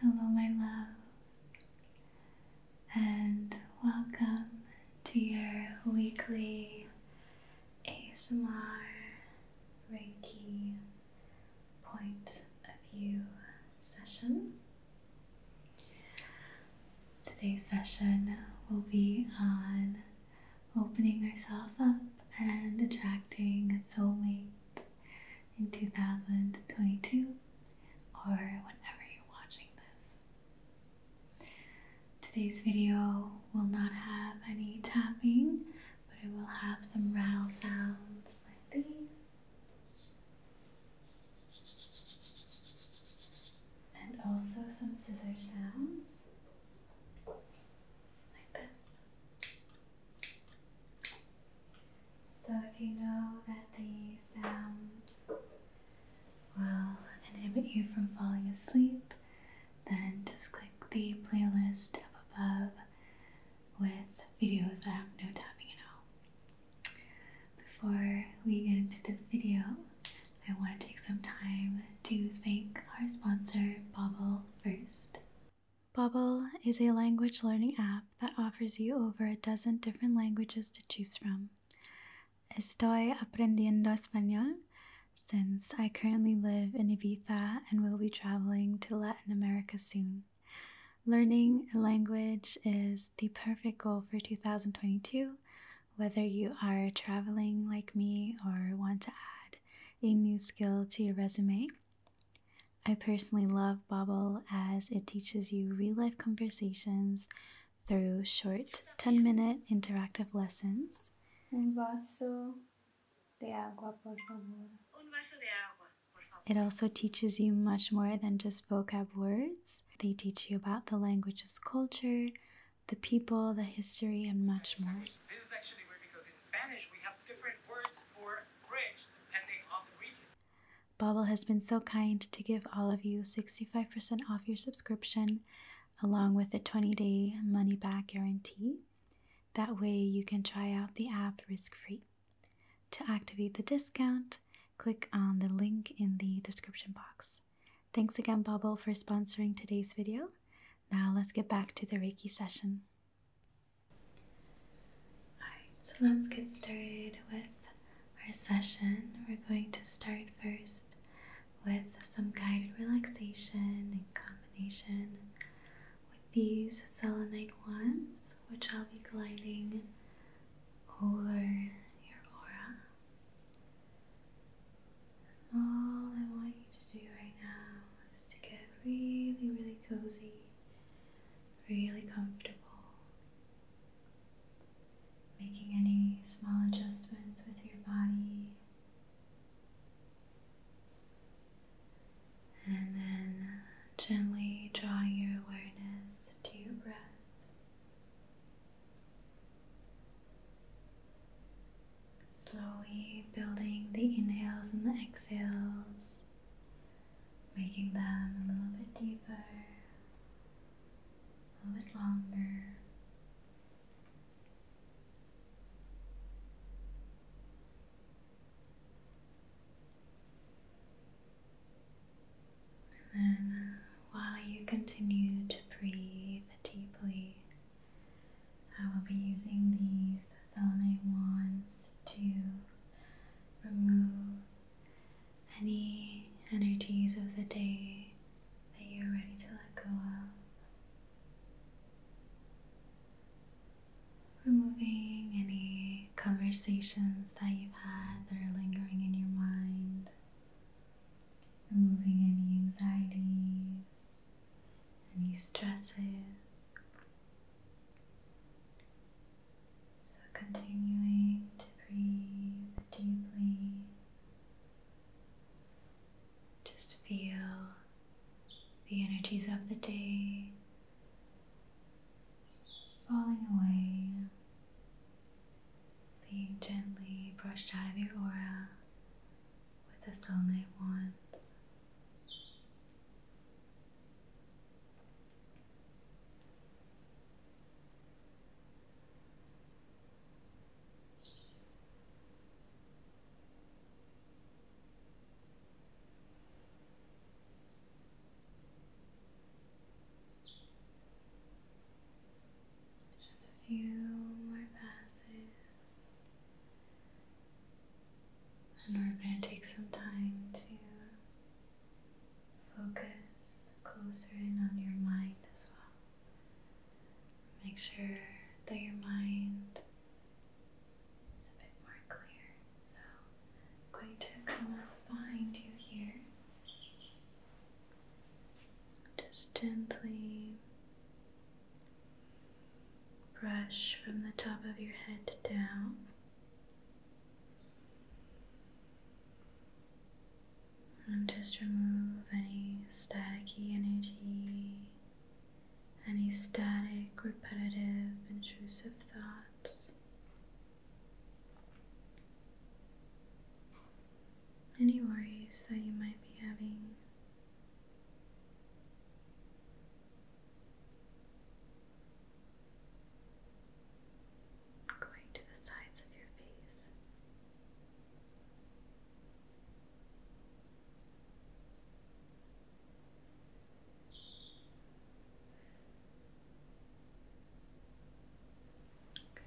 Hello, my loves, and welcome to your weekly ASMR Reiki Point of View session. Today's session will be on opening ourselves up and attracting soulmate in 2022 or whenever you're watching this. Today's video will not have any tapping, but it will have some rattle sounds like these, and also some scissor sounds like this. So if you know that these sounds will inhibit you from falling asleep, then just click the playlist up above with videos that have no tapping at all. Before we get into the video, I want to take some time to thank our sponsor, Bobble, first. Bubble is a language learning app that offers you over a dozen different languages to choose from. Estoy aprendiendo español since I currently live in Ibiza and will be traveling to Latin America soon. Learning a language is the perfect goal for 2022, whether you are traveling like me or want to add a new skill to your resume. I personally love Bobble as it teaches you real life conversations through short 10 minute interactive lessons. Un vaso de agua, por favor. It also teaches you much more than just vocab words. They teach you about the language's culture, the people, the history, and much more. Bubble has been so kind to give all of you 65% off your subscription along with a 20 day money back guarantee. That way, you can try out the app risk free. To activate the discount, click on the link in the description box. Thanks again, Bubble, for sponsoring today's video. Now, let's get back to the Reiki session. Alright, so let's get started with our session. We're going to start first with some guided relaxation in combination with these selenite ones, which I'll be gliding over your aura. All I want you to do right now is to get really, really cozy really comfortable. Making any small adjustments with your body. And then gently drawing your awareness to your breath. Slowly building the inhales and the exhales making them a little bit deeper, a little bit longer. And while you continue to breathe deeply, I will be using these saline wands to remove any energies of the day that you're ready to let go of. Removing any conversations that you've had that are lingering in your mind. Removing any anxieties, any stresses. So continuing to breathe deeply. Just feel the energies of the day falling away, being gently brushed out of your aura with the sunlight wands. Just a few more passes, and we're going to take some time to Focus closer in on your mind as well. Make sure that your mind is a bit more clear. So going to come behind you here. Just gently brush from the top of your head down. And just remove any staticky energy, any static, repetitive, intrusive thoughts. Any worries that you might be having going to the sides of your face. Okay. Okay.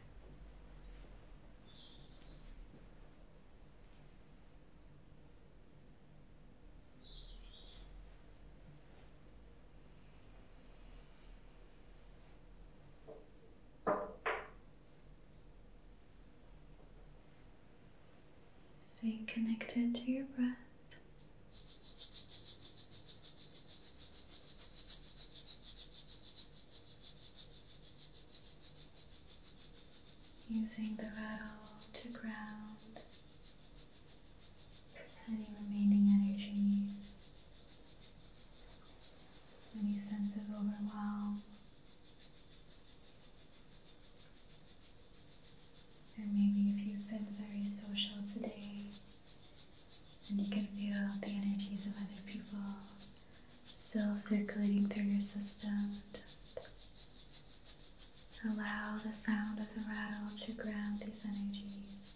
Stay connected to your breath. Using the rattle to ground any remaining energy, any sense of overwhelm, or maybe if you've been very social today and you can feel the energies of other people still circulating through your system, just allow the sound of the rattle to ground these energies.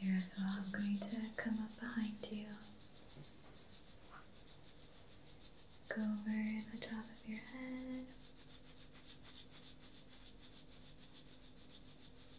Here as well, I'm going to come up behind you, go over the top of your head.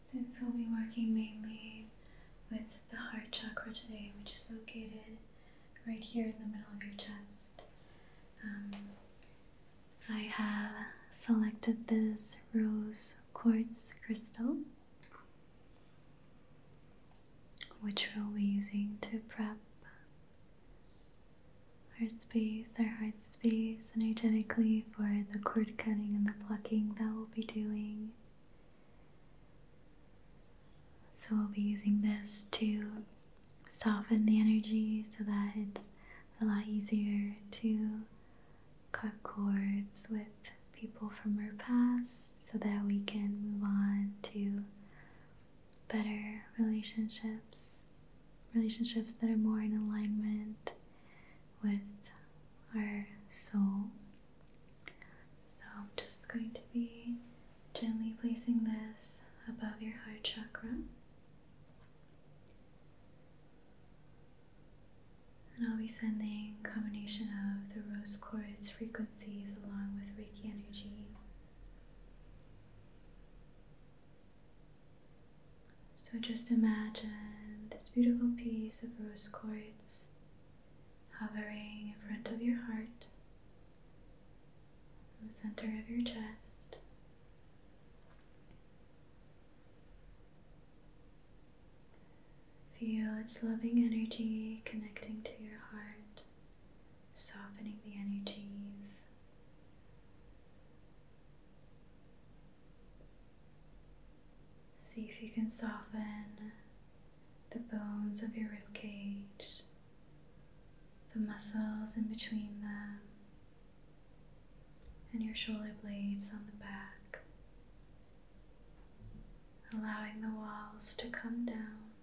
Since we'll be working mainly with the heart chakra today, which is located right here in the middle of your chest, um, I have selected this rose quartz crystal which we'll be using to prep our space, our heart space, energetically for the cord cutting and the plucking that we'll be doing. So, we'll be using this to soften the energy so that it's a lot easier to cut cords with people from our past so that we can move on to better relationships, relationships that are more in alignment with our soul. So, I'm just going to be gently placing this above your heart chakra. And I'll be sending a combination of the rose quartz frequency along with Reiki energy. So just imagine this beautiful piece of rose quartz hovering in front of your heart, in the center of your chest. Feel its loving energy connecting to your heart softening the energies. See if you can soften the bones of your rib cage, the muscles in between them, and your shoulder blades on the back, allowing the walls to come down.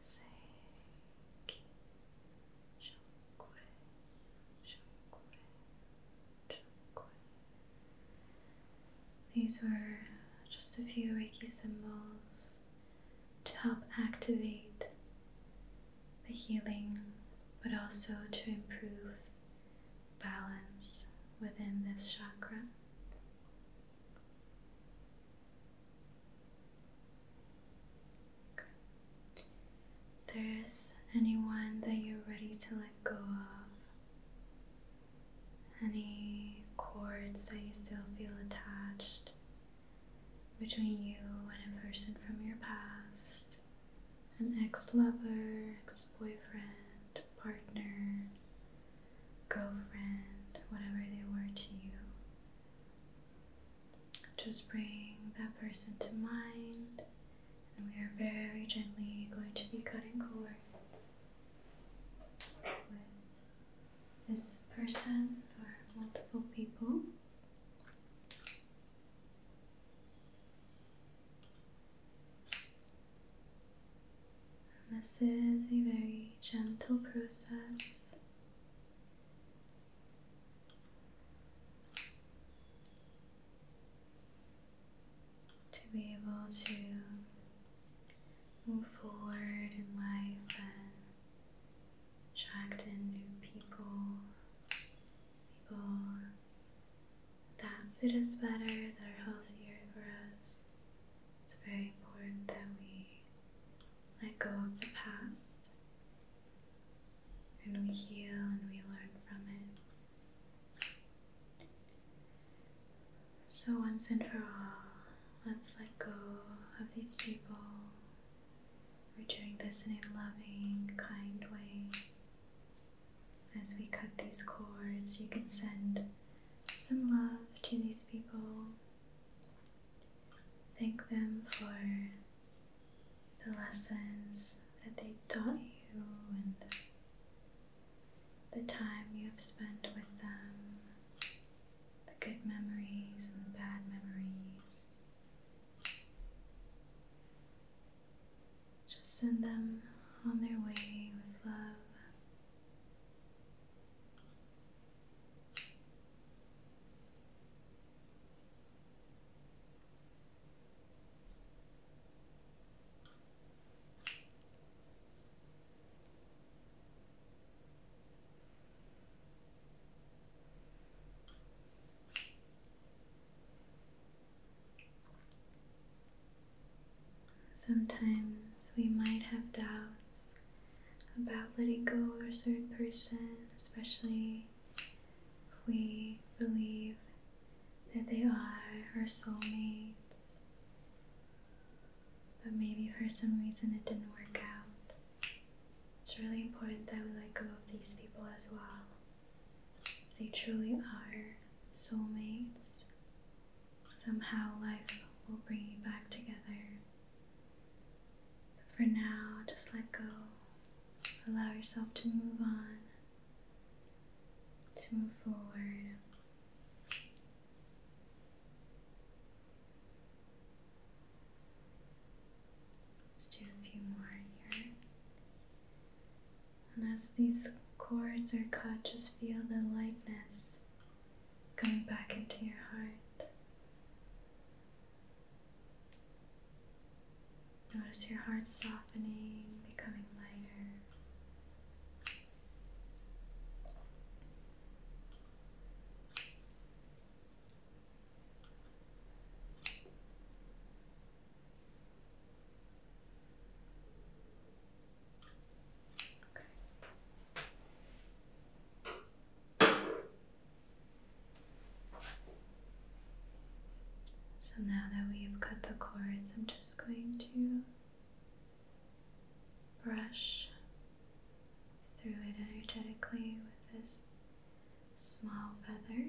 Seiki These were just a few Reiki symbols to help activate the healing but also to improve balance within this chakra. There's anyone that you're ready to let go of, any cords that you still feel attached between you and a person from your past, an ex lover, ex boyfriend, partner, girlfriend, whatever they were to you. Just bring that person to mind, and we are very gently going to be cutting cords with this person or multiple people. And this is a very gentle process to be able to move forward in life and attract in new people, people that fit us better, that are healthier for us. It's very important that we let go of the past and we heal and we learn from it. So, once and for all, let's let go of these people. We're doing this in a loving, kind way. As we cut these cords, you can send some love to these people. Thank them for the lessons that they taught you and the time you have spent with them, the good memories and the bad memories. Just send them on their way with love. Sometimes we might have doubts about letting go of a certain person, especially if we believe that they are our soulmates, but maybe for some reason it didn't work out. It's really important that we let go of these people as well. If they truly are soulmates. Somehow life will bring you back together. But for now, just let go. Allow yourself to move on, to move forward. Let's do a few more here. And as these cords are cut, just feel the lightness coming back into your heart. Notice your heart softening, becoming lighter. So now that we've cut the cords, I'm just going to brush through it energetically with this small feather.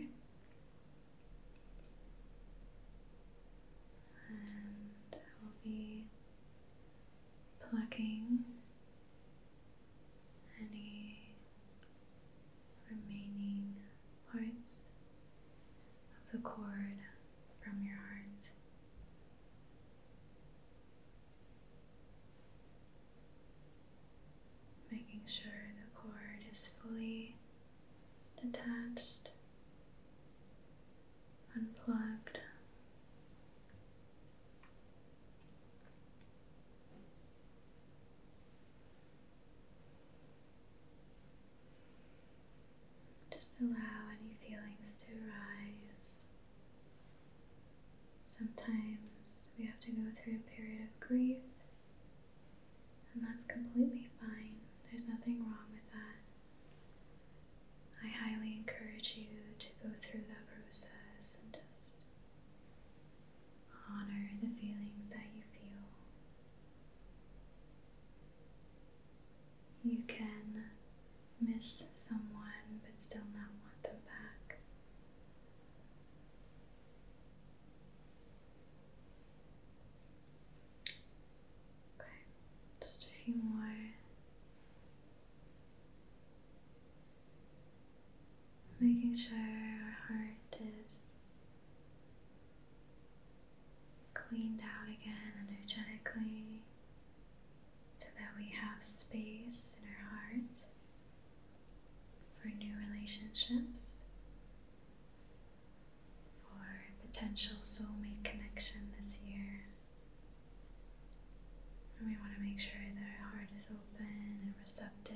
And I will be plucking any remaining parts of the cord from your heart. Making sure the cord is fully detached, unplugged, just allow any feelings to rise. Sometimes we have to go through a period of grief, and that's completely fine. There's nothing wrong with that. I highly encourage you to go through that process and just Honor the feelings that you feel. You can miss someone but still not want them back. Okay, just a few more making sure our heart is cleaned out again energetically so that we have space in our heart for new relationships, for potential soulmate connection this year. And we want to make sure that our heart is open and receptive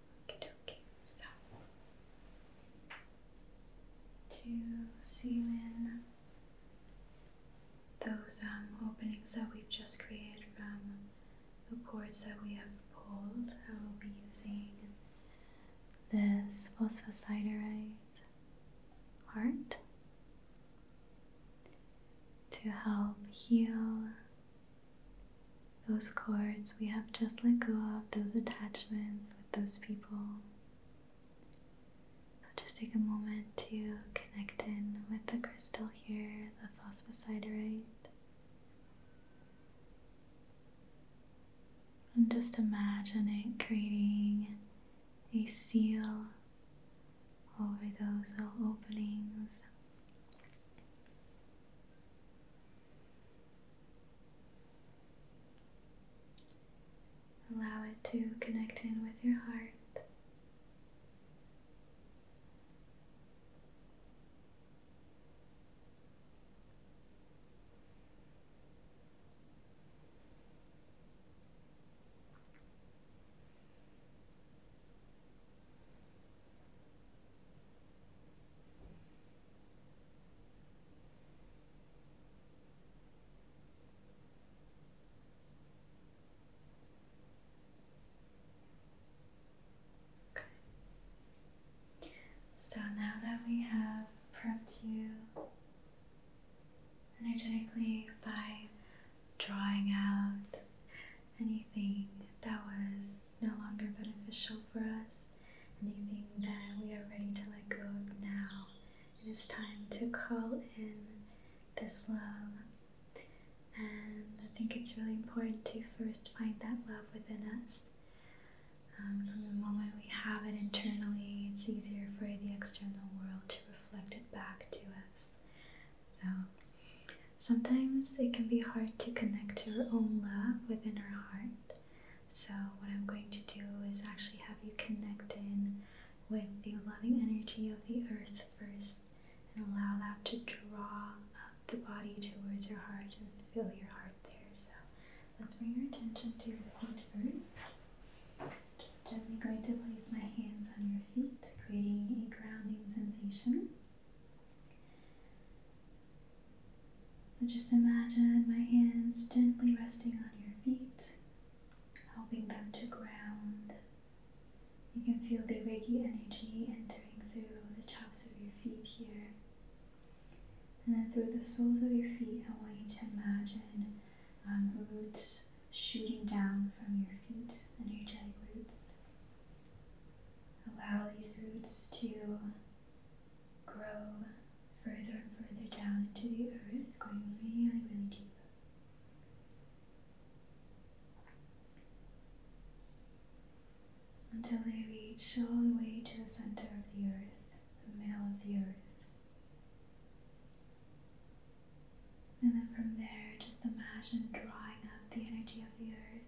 Okay, So to seal in those um, openings that we've just created from the cords that we have pulled, I will be using this phosphosiderite heart to help heal those cords we have just let go of, those attachments with those people. So just take a moment to connect in with the crystal here, the phosphosiderite. And just imagine it creating a seal over those little openings. Allow it to connect in with your heart. So now that we have prepped you energetically by drawing out anything that was no longer beneficial for us, anything that we are ready to let go of now. It is time to call in this love. And I think it's really important to first find that love within us. Um, from the moment we have it internally, it's easier for the external world to reflect it back to us. So sometimes it can be hard to connect to our own love within our heart. So, what I'm going to do is actually have you connect in with the loving energy of the earth first and allow that to draw up the body towards your heart and fill your heart there. So, let's bring your attention to your feet first. Just gently going to place my hands on your feet, creating a grounding sensation. So just imagine my hands gently resting on your feet, helping them to ground. You can feel the Reiki energy entering through the tops of your feet here. And then through the soles of your feet, I want you to imagine um, roots shooting down from your feet, energetic roots. Allow these roots to grow further and further down into the earth, going really, really deep. Until they reach all the way to the center of the earth, the middle of the earth. And then from there, just imagine drawing up the energy of the earth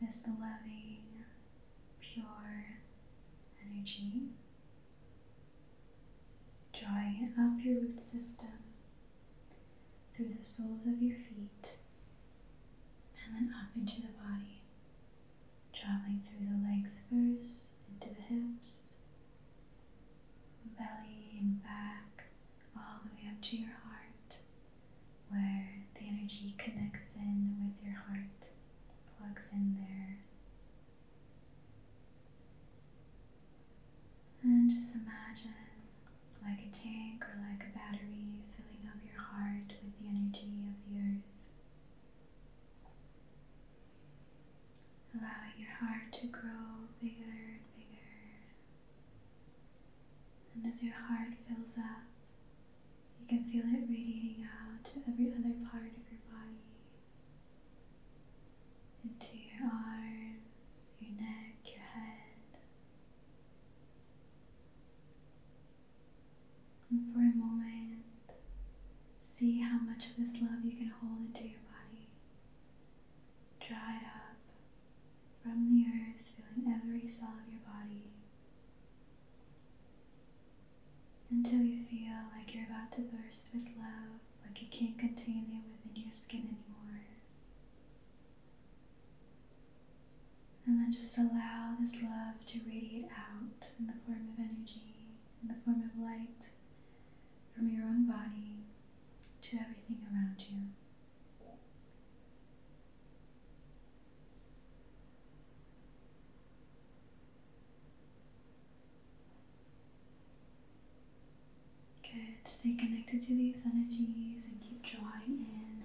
this loving, pure energy, drawing up your root system through the soles of your feet and then up into the body, traveling through the legs first, into the hips, belly and back, all the way up to your heart, where the energy connects in with your heart, plugs in there. And just imagine like a tank or like a battery filling up your heart with the energy of the earth. Allowing your heart to grow bigger and bigger. And as your heart fills up, you can feel it radiating out to every other part of your body, into your arms, your neck, your head. And for a moment, see how much of this love you can hold into your body. Draw it up from the earth, feeling every cell of your body until you feel like you're about to burst with love, like you can't contain it within your skin anymore. And then just allow this love to radiate out in the form of energy, in the form of light from your own body to everything around you. Good. Stay connected to these energies and keep drawing in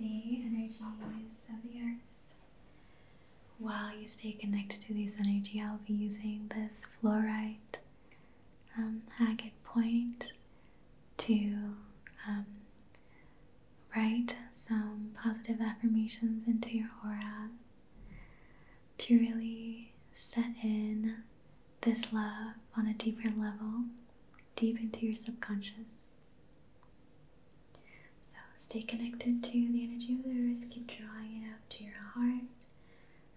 the energies of the earth. While you stay connected to these energy, I'll be using this fluorite um, agate point to um, write some positive affirmations into your aura to really set in this love on a deeper level, deep into your subconscious. So stay connected to the energy of the earth, keep drawing it up to your heart,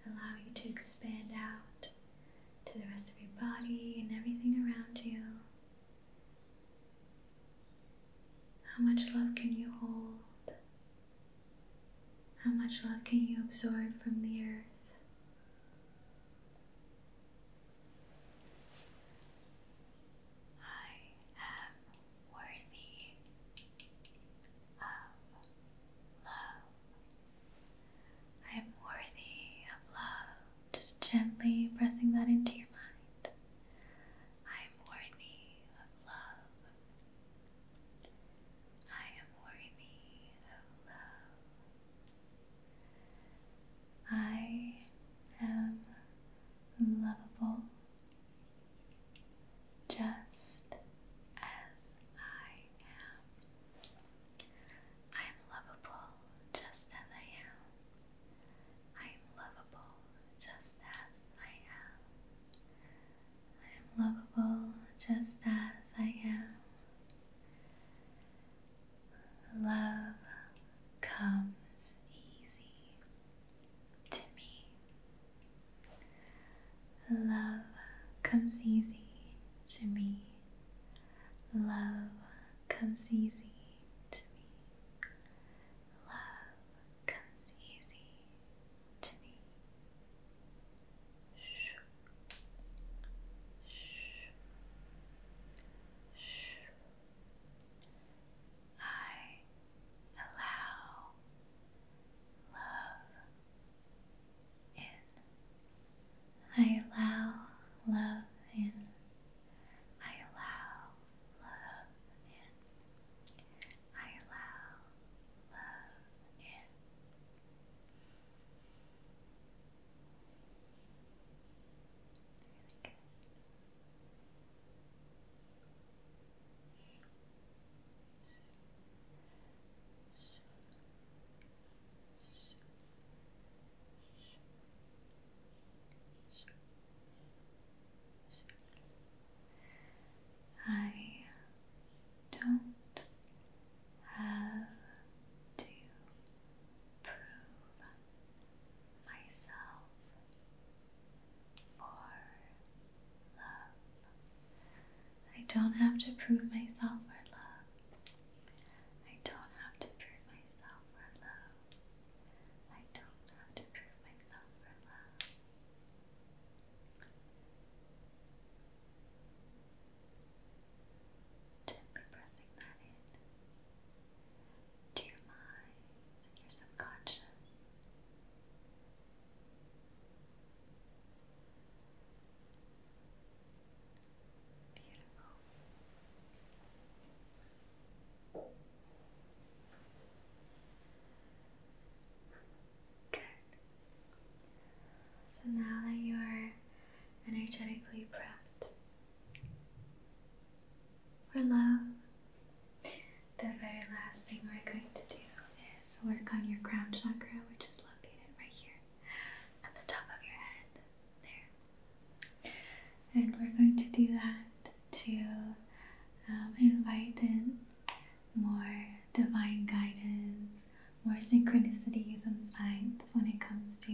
allow you to expand out to the rest of your body and everything around you. How much love can you hold? How much love can you absorb from the earth? I am worthy of love. I am worthy of love. Just gently pressing that into your mind. I am worthy of love. I am worthy of love. I am lovable just as I am. I am lovable just as I am. I am lovable just as I am. I am lovable just as I am. Love comes easy to me. Love comes easy to me. Love comes easy to me. Love comes easy to me. Shh. Shh. Shh. I allow love in. I allow love in. I allow love in. I allow love in. I don't have to prove myself for love. I don't have to prove myself for love. I don't have to prove myself for love. I don't know to prove myself for love. Gently pressing that in to your mind and your subconscious. Beautiful. Good. So now that you are energetically prepped for love, the very last thing we're going to do is work on your crown chakra, which is located right here at the top of your head. There. And we're going to do that to um, invite in more divine guidance, more synchronicities and signs when it comes to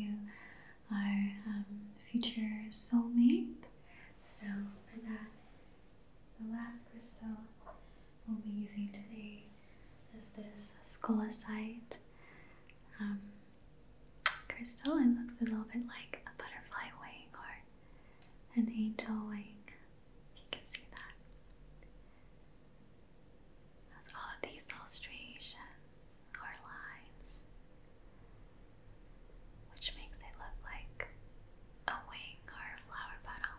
our um, future soulmate. So, for that, the last crystal we'll be using today is this scolasite um, crystal. It looks a little bit like a butterfly wing or an angel wing. You can see that. That's all of these illustrations or lines, which makes it look like a wing or a flower petal.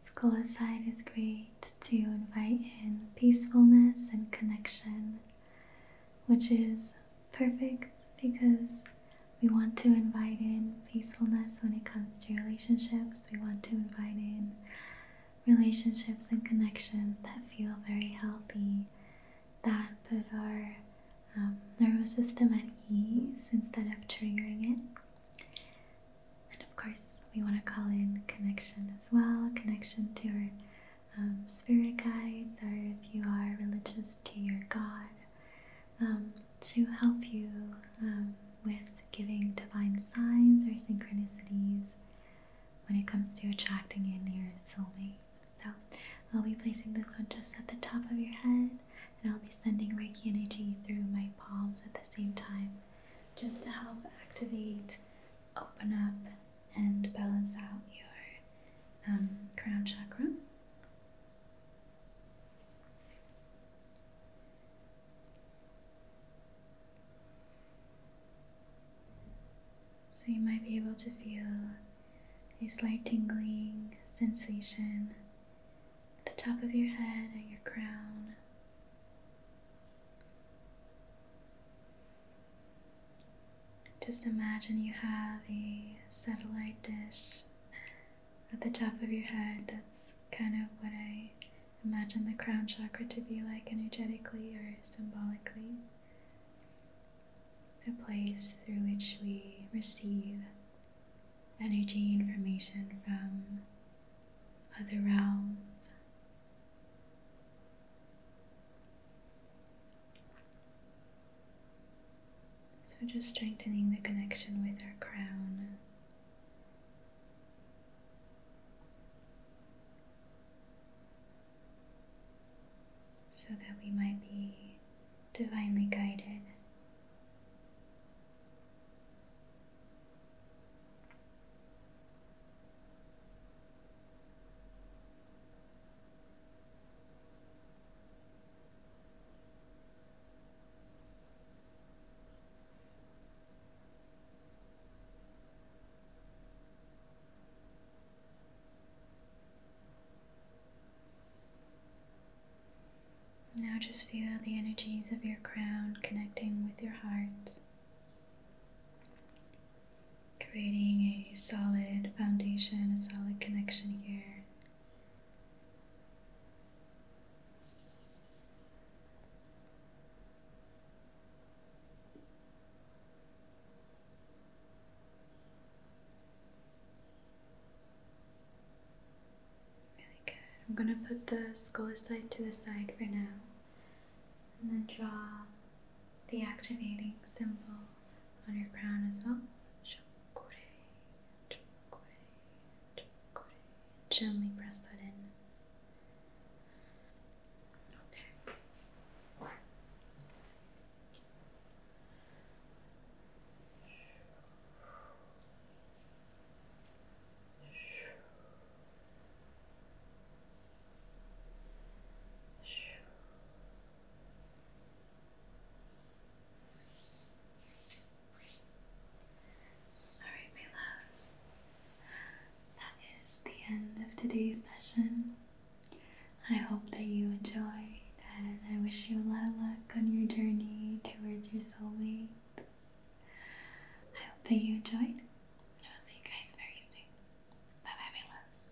Schoolside is great to invite in peacefulness and connection which is perfect because we want to invite in peacefulness when it comes to relationships. We want to invite in relationships and connections that feel very healthy, that put our um, nervous system at ease instead of triggering it. And of course, we want to call in connection as well connection to our um, spirit guides, or if you are religious to your God, um, to help you um, with giving divine signs or synchronicities when it comes to attracting in your soulmate. So I'll be placing this one just at the top of your head, and I'll be sending Reiki energy through my palms at the same time just to help activate, open up, and balance out your um, crown chakra. So you might be able to feel a slight tingling sensation at the top of your head or your crown. Just imagine you have a satellite dish at the top of your head. That's kind of what I imagine the crown chakra to be like energetically or symbolically. It's a place through which we receive energy information from other realms. So, just strengthening the connection with our crown. So that we might be divinely guided. Now just feel the energies of your crown connecting with your heart creating a solid foundation, a solid connection here. Really good. I'm going to put the skull aside to the side for now and then draw the activating symbol on your crown as well. Gently press that in. Okay. Alright, my loves, that is the end of today's session. I hope that you enjoyed, and I wish you a lot of luck on your journey towards your soulmate. I hope that you enjoyed. I will see you guys very soon. Bye bye, my loves.